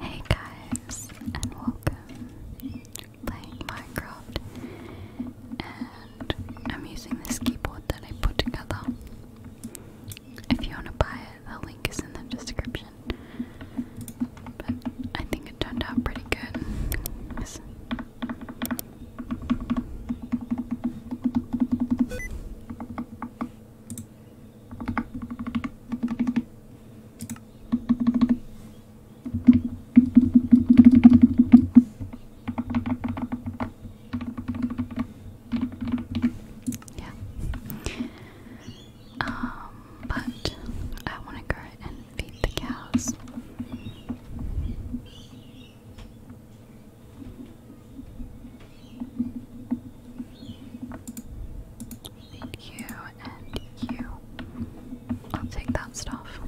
Hey guys, and welcome. Playing Minecraft, and I'm using this keyboard that I put together. If you want to buy it, the link is in the description. But I think it turned out pretty good. Yeah. Um, but I want to go and feed the cows. You and you. will take that stuff.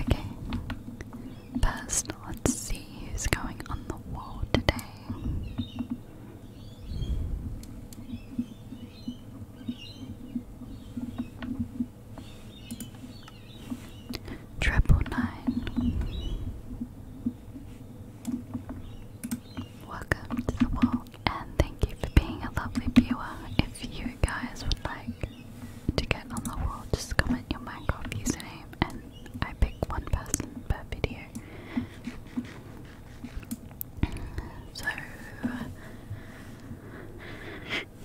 Okay. First, let's see who's going on the wall today. Triple nine. Welcome to the wall, and thank you for being a lovely viewer. If you guys would like to get on the wall, just comment your Minecraft username, and I pick one person per video. So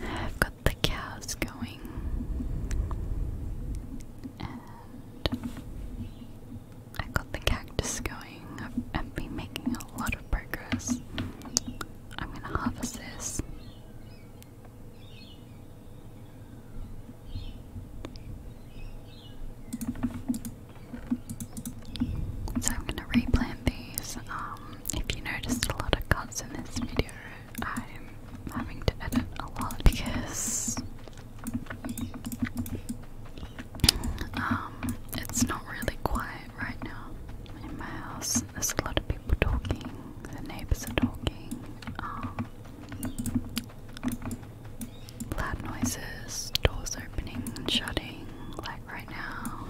I've got the cows going, and i got the cactus going. I've, been making a lot of progress. I'm gonna harvest this. So I'm gonna replant these. Um, if you noticed a lot of cuts in this video, I'm having to edit a lot because um, it's not really quiet right now in my house. There's a lot of people talking, the neighbours are talking, um, loud noises, doors opening and shutting, like right now.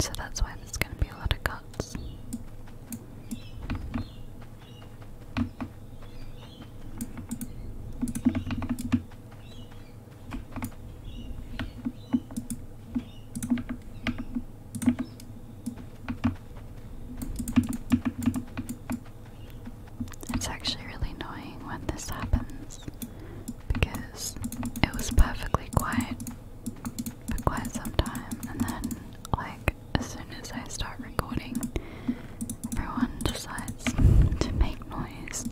So that's why there's going to be a lot of cuts. It's actually really annoying when this happens because it was perfectly quiet for quite some time, and then, like, as soon as I start recording, everyone decides to make noise.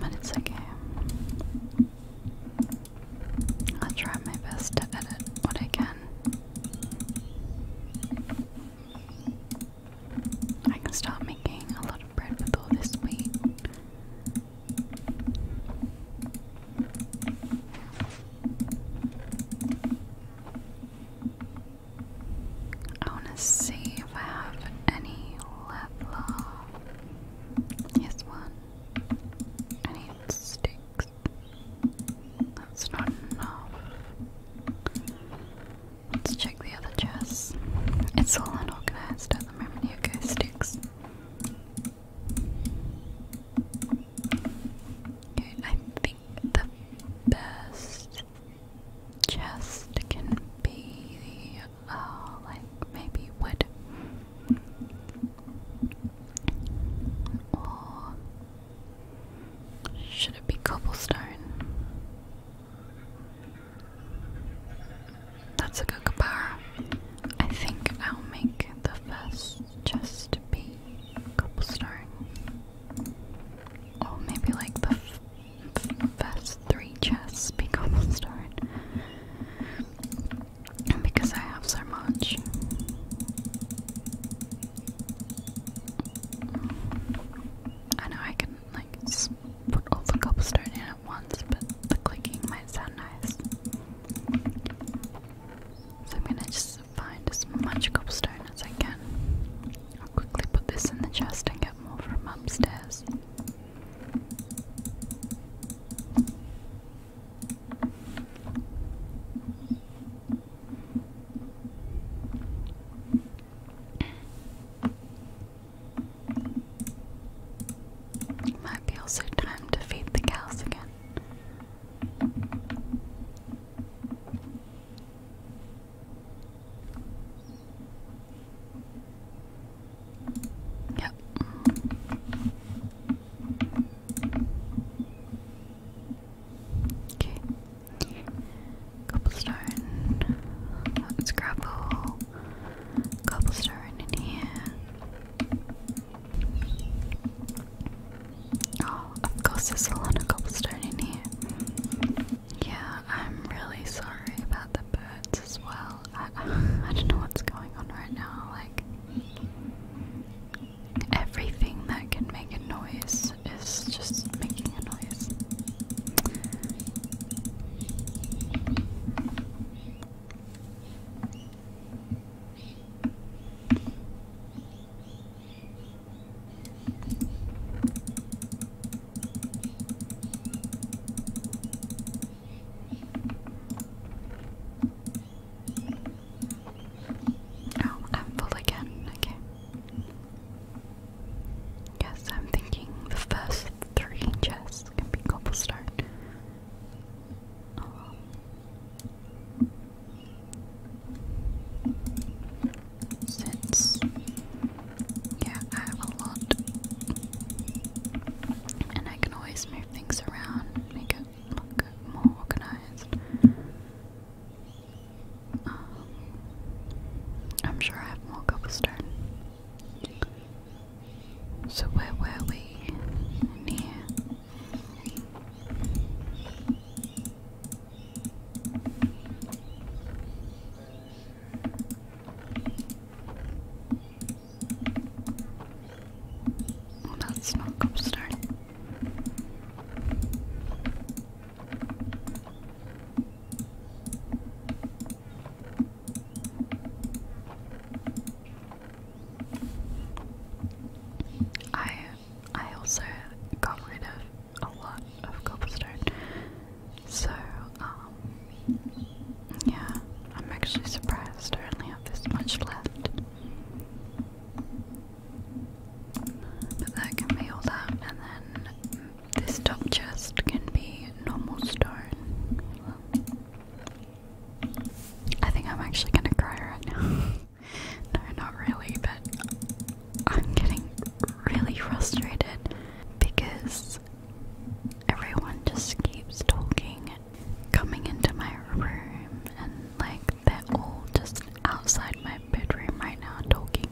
But it's okay. I'll try my best to edit what I can. I can start making a lot lot this wheat. I want to see if I have any leather. Yes, one. I sticks. That's not enough. Let's check the other chest. It's all unorganized at the moment. Here goes sticks. I think the best chest can be, uh, like maybe wood or should it be cobblestone? That's a good kapara. I think I'll make the vest just be cobblestone. Or maybe like the vest three chests be cobblestone. Because I have so much. I know I can like put all the cobblestone in at once, but the clicking might sound nice. So I'm gonna just find as much cobblestone as I can. I'll quickly put this in the chest and get more from upstairs. It might be also time to feed the cows again. Yep. Okay. Cobblestone. let Cobblestone in here. Oh, of course there's a lot of cobblestone in here. Yeah, I'm really sorry about the birds as well. I don't know what's going on right now. Like, everything that can make a noise is just making a noise. Oh, I'm full again. Okay. Yes, I'm thinking the first three chests can be cobblestone. Since, yeah, I have a lot, and I can always move things around, make it look more organized. Um, I'm sure I have more cobblestone so where were we? In here. Well, that's I I also got rid of a lot of cobblestone. So, um, yeah, I'm actually surprised I only have this much left. But that can be all that and then this top chest can be normal stone. I think I'm actually gonna cry right now. no, not really, but I'm getting really frustrated because everyone just keeps talking coming into my room, and like they're all just outside my bedroom right now talking.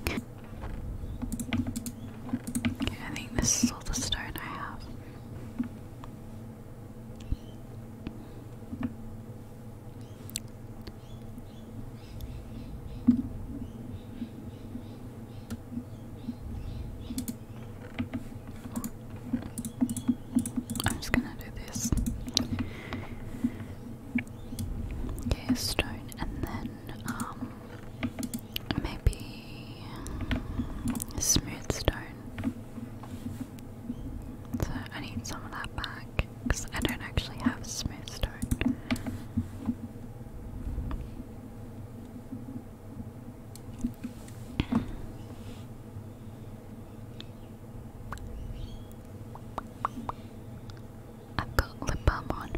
I think this is all the stone I have. I'm just gonna do this. Okay, stone, and then um, Maybe smooth stone. So I need some of that back because I don't actually have smooth stone. I've lip balm on.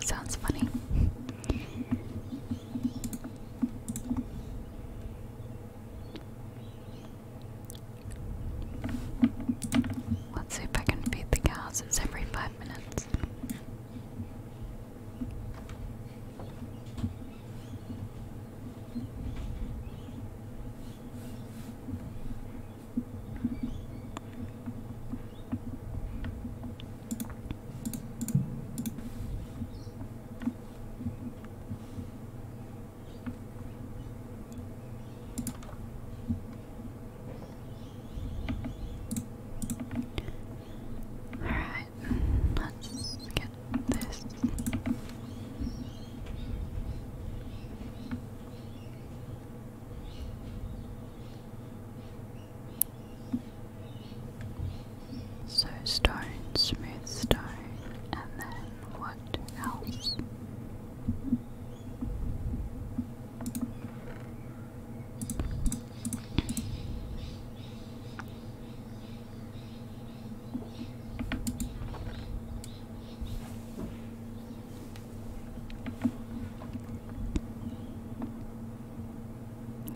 sounds funny. Let's see if I can feed the cows. It's every five minutes. All right, let's get this. So stone, smooth stone, and then what else?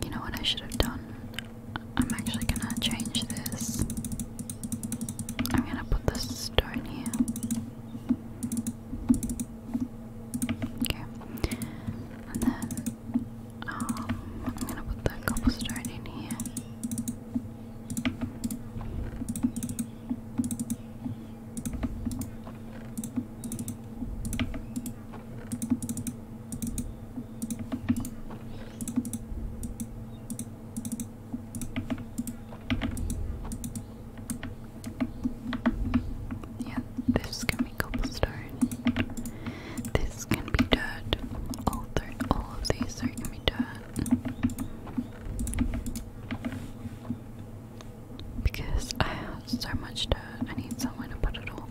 You know what I should have done? I'm actually gonna change this. I'm gonna put this stone here. Okay. And then um, I'm gonna put the cobblestone in here. Yeah, this can be cobblestone. This can be dirt. All three, all of these three can be dirt. Because I have so much dirt, I need somewhere to put it all.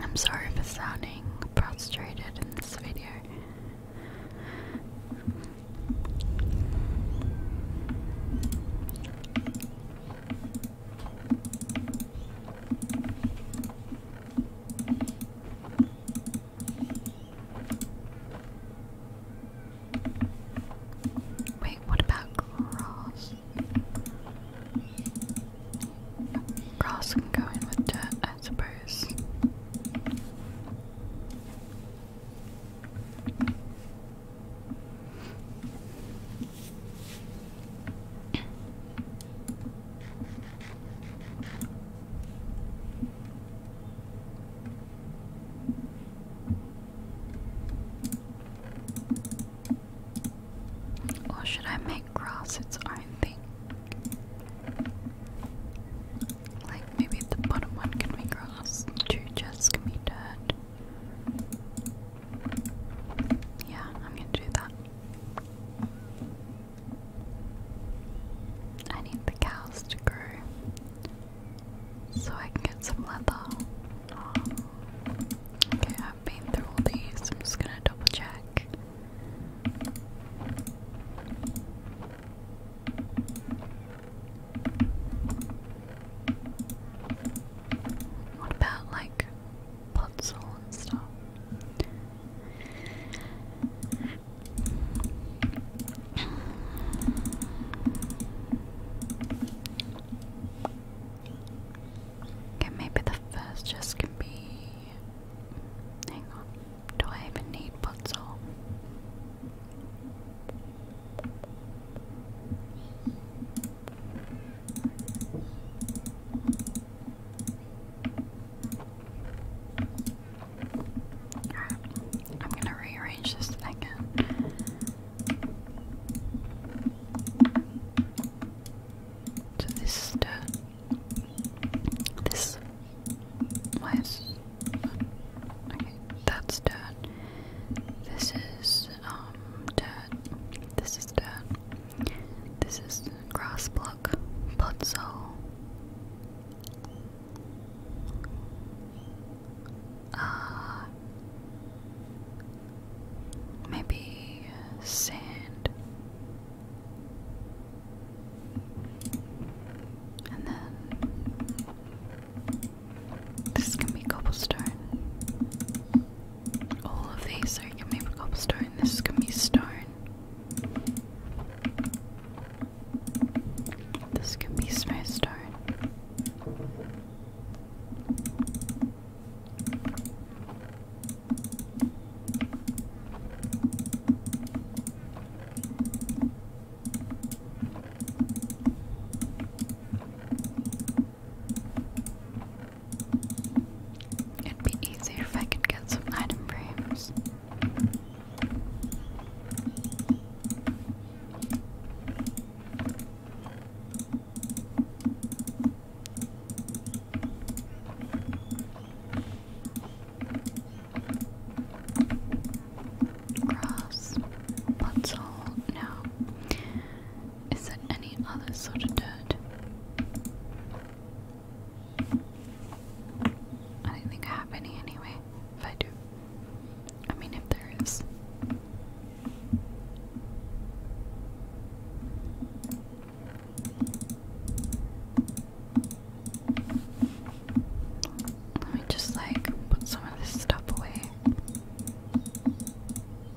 I'm sorry for sounding prostrated in this video. Wait, what about grass? Grass can go in with dirt, I suppose. Or should I make grass its own thing? Like maybe the bottom one can be grass, two chests can be dirt. Yeah, I'm gonna do that. I need the cows to grow so I can get some leather. Okay, I've been through all these. I'm just gonna double check. What about like puzzle and stuff. Okay, maybe the first just can be. Hang on. Do I even need puzzle? I'm gonna rearrange this again. So this is the this okay, that's done. This is um dirt. This is dirt. This is grass block. Podzol. Uh maybe sand. And then this can be cobblestone. All of these, are you can make cobblestone, this is gonna be stone. This can be smooth stone. It'd be easier if I could get some item frames. Cross, puzzle, no. Is it any other sort of dirt? I don't think I have any anyway. If I do, I mean, if there is. Let me just like put some of this stuff away.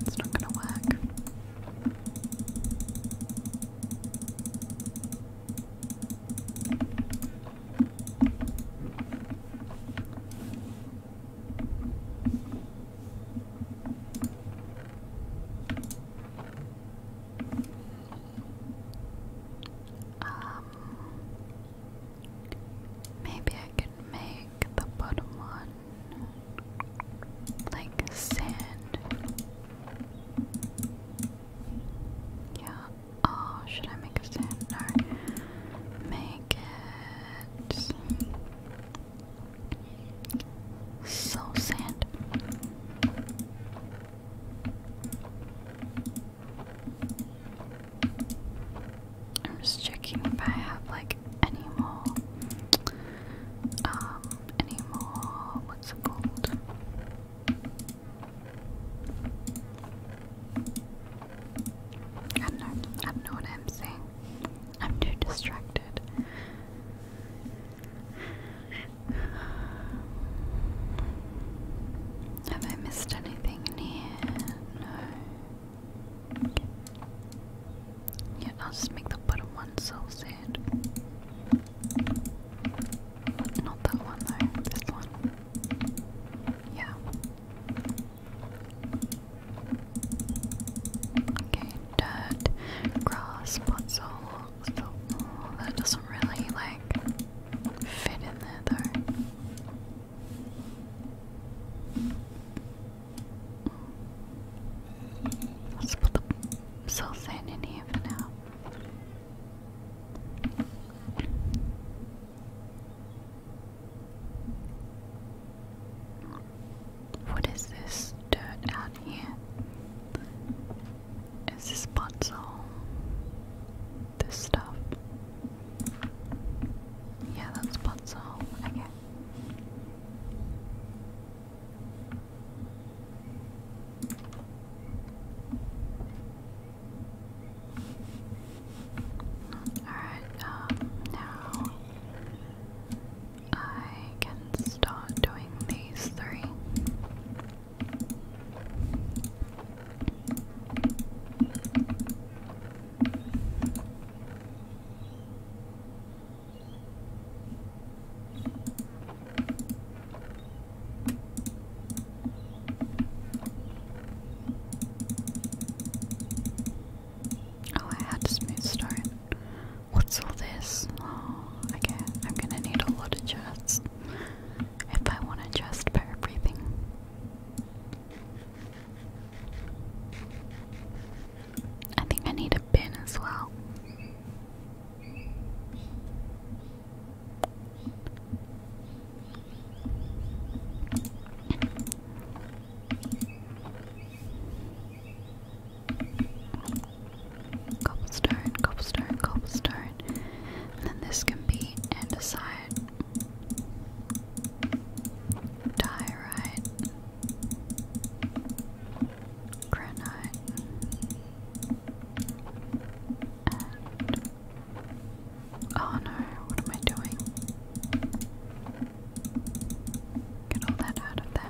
That's not gonna work. Um, maybe I could make the bottom one like sand. Yeah. Oh, should I make a sand? No. Make it so sad. I'm just checking if I have like any more um any more what's it called? I don't I don't know I'm too distracted. Have I missed anything in here? No. Yeah, I'll just make the bottom one saucehead. Not that one though, this one. Yeah. Okay, dirt, grass, pots, all, oh, that doesn't really like fit in there though. Let's put the cellophane in here now. What is this dirt out here? Is this pots this stuff? Yeah, that's pots Okay. Alright, um, now I can start doing these three. Oh, I had to smooth stone. What's all this? okay, oh, I'm gonna need a lot of chests if I want a chest for everything. I think I need a bin as well. Cobblestone, cobblestone, cobblestone. And then this can be andesite. Diorite. Granite. And oh no, what am I doing? Get all that out of there.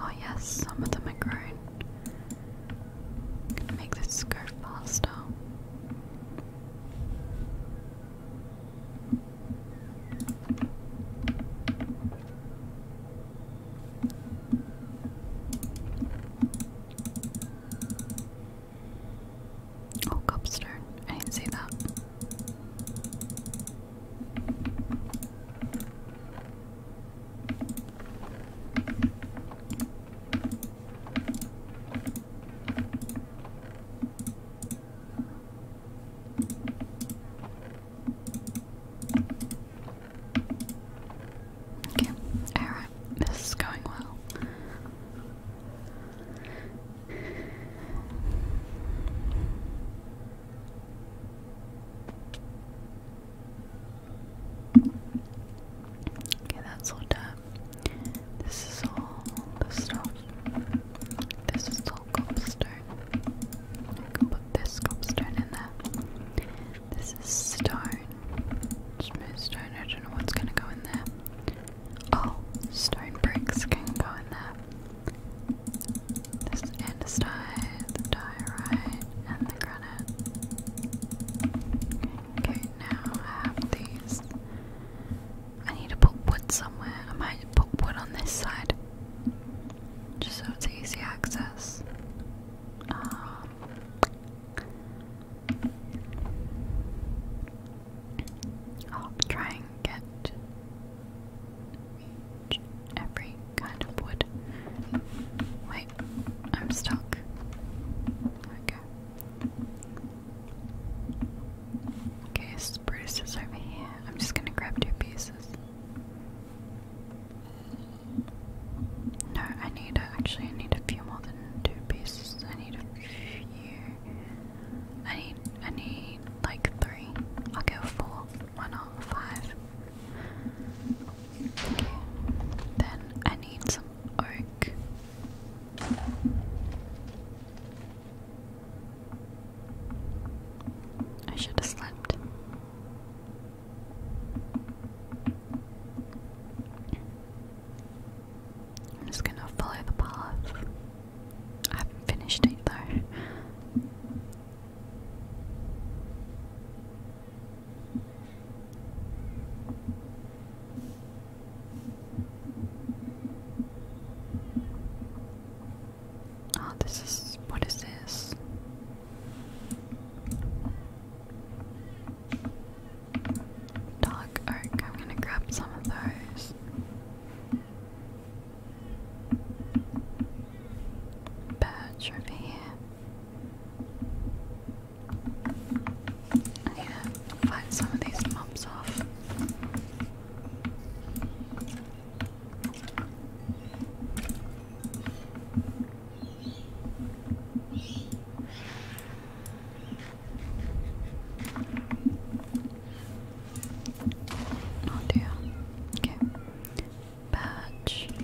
Oh yes, some of them are grown. gonna make this go faster. Oh, cobstone. I didn't see that. Okay, alright, this is going well. Okay, that's all done. This is all the stone. This is all cobblestone. I can put this cobblestone in there. This is stone. Smooth stone. I don't know what's gonna go in there. Oh, stone bricks can go in there. This andesite, the diorite, and the granite. Okay, now I have these. I need to put wood somewhere. I might put wood on this side. Just so it's easy access. Um, I'll try and get every kind of wood. Wait, I'm stuck. Okay. Okay, spruce is over here. I'm just gonna grab two pieces. No, I need actually I need a few more than two pieces. I need a few. I need I need like three. I'll go four. Why then I need some oak. I should have slept. I'm just gonna follow the path. I haven't finished it though. Oh, this is what is this? Dark oak. I'm gonna grab some of those badge over here. I need to fight some of these mobs off. Oh dear. Okay badge. And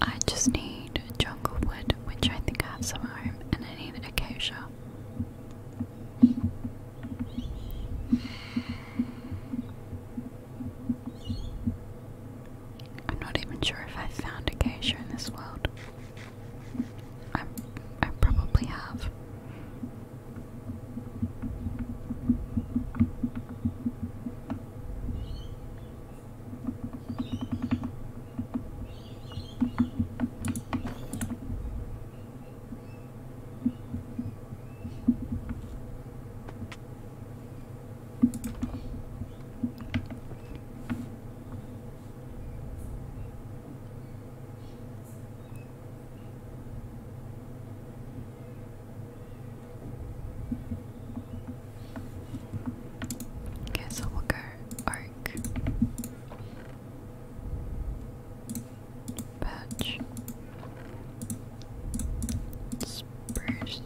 I just need jungle wood which I think I have some at and I need acacia. I'm not even sure if i found found acacia in this world. I, I probably have. Okay, so we'll go. Oh, dark. Patch. Spruce.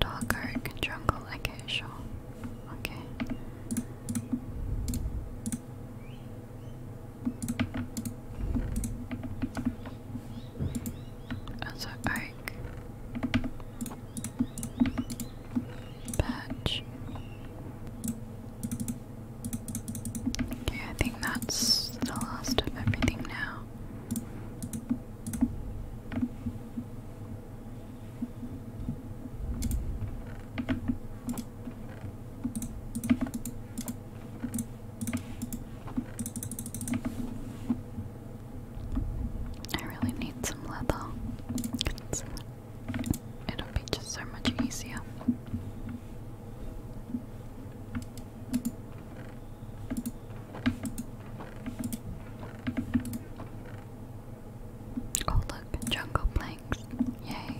Dog arc, jungle acacia. Okay. As an Patch. Okay, I think that's the last of everything now. I really need some leather. it'll be just so much easier. Oh look, jungle planks. Yay.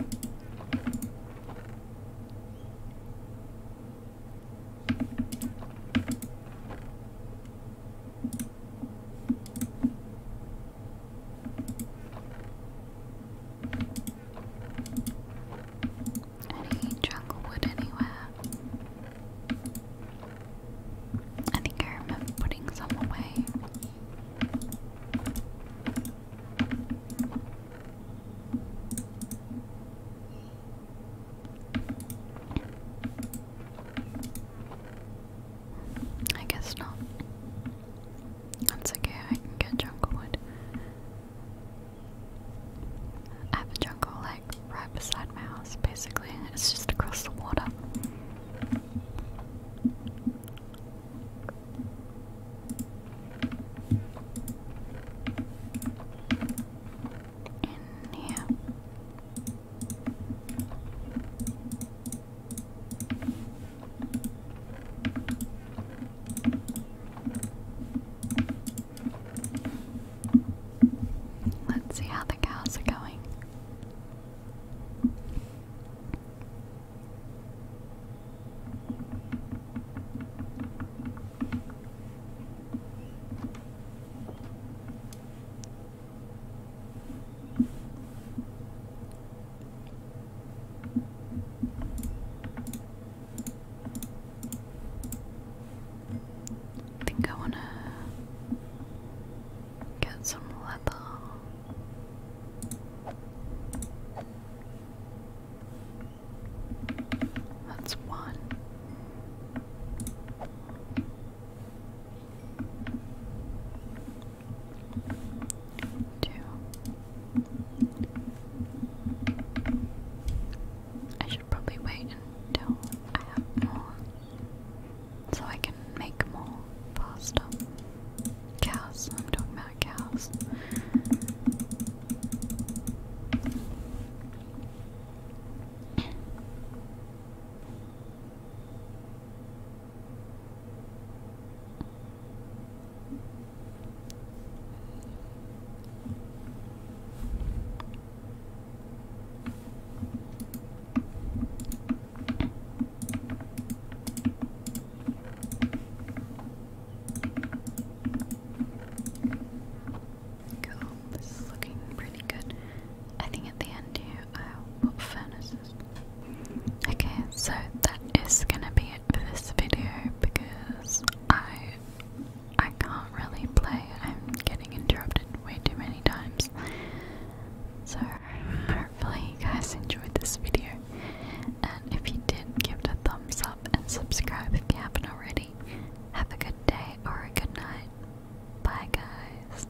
Any jungle wood anywhere? I think I remember putting some away. I guess not. That's okay, I can get jungle I have a jungle like right beside my house basically. It's just across the water. In Let's see how the cows are going. I think I want to get some leather. That's one two. I should probably wait until I have more so I can make more faster. Cows, I'm talking about cows. Cool. This is looking pretty good. I think at the end here Okay, so that is gonna be it for this video because I I can't really play. I'm getting interrupted way too many times. So hopefully you guys enjoyed this video. And if you did, give it a thumbs up and subscribe if you haven't already. Have a good day or a good night. Bye guys.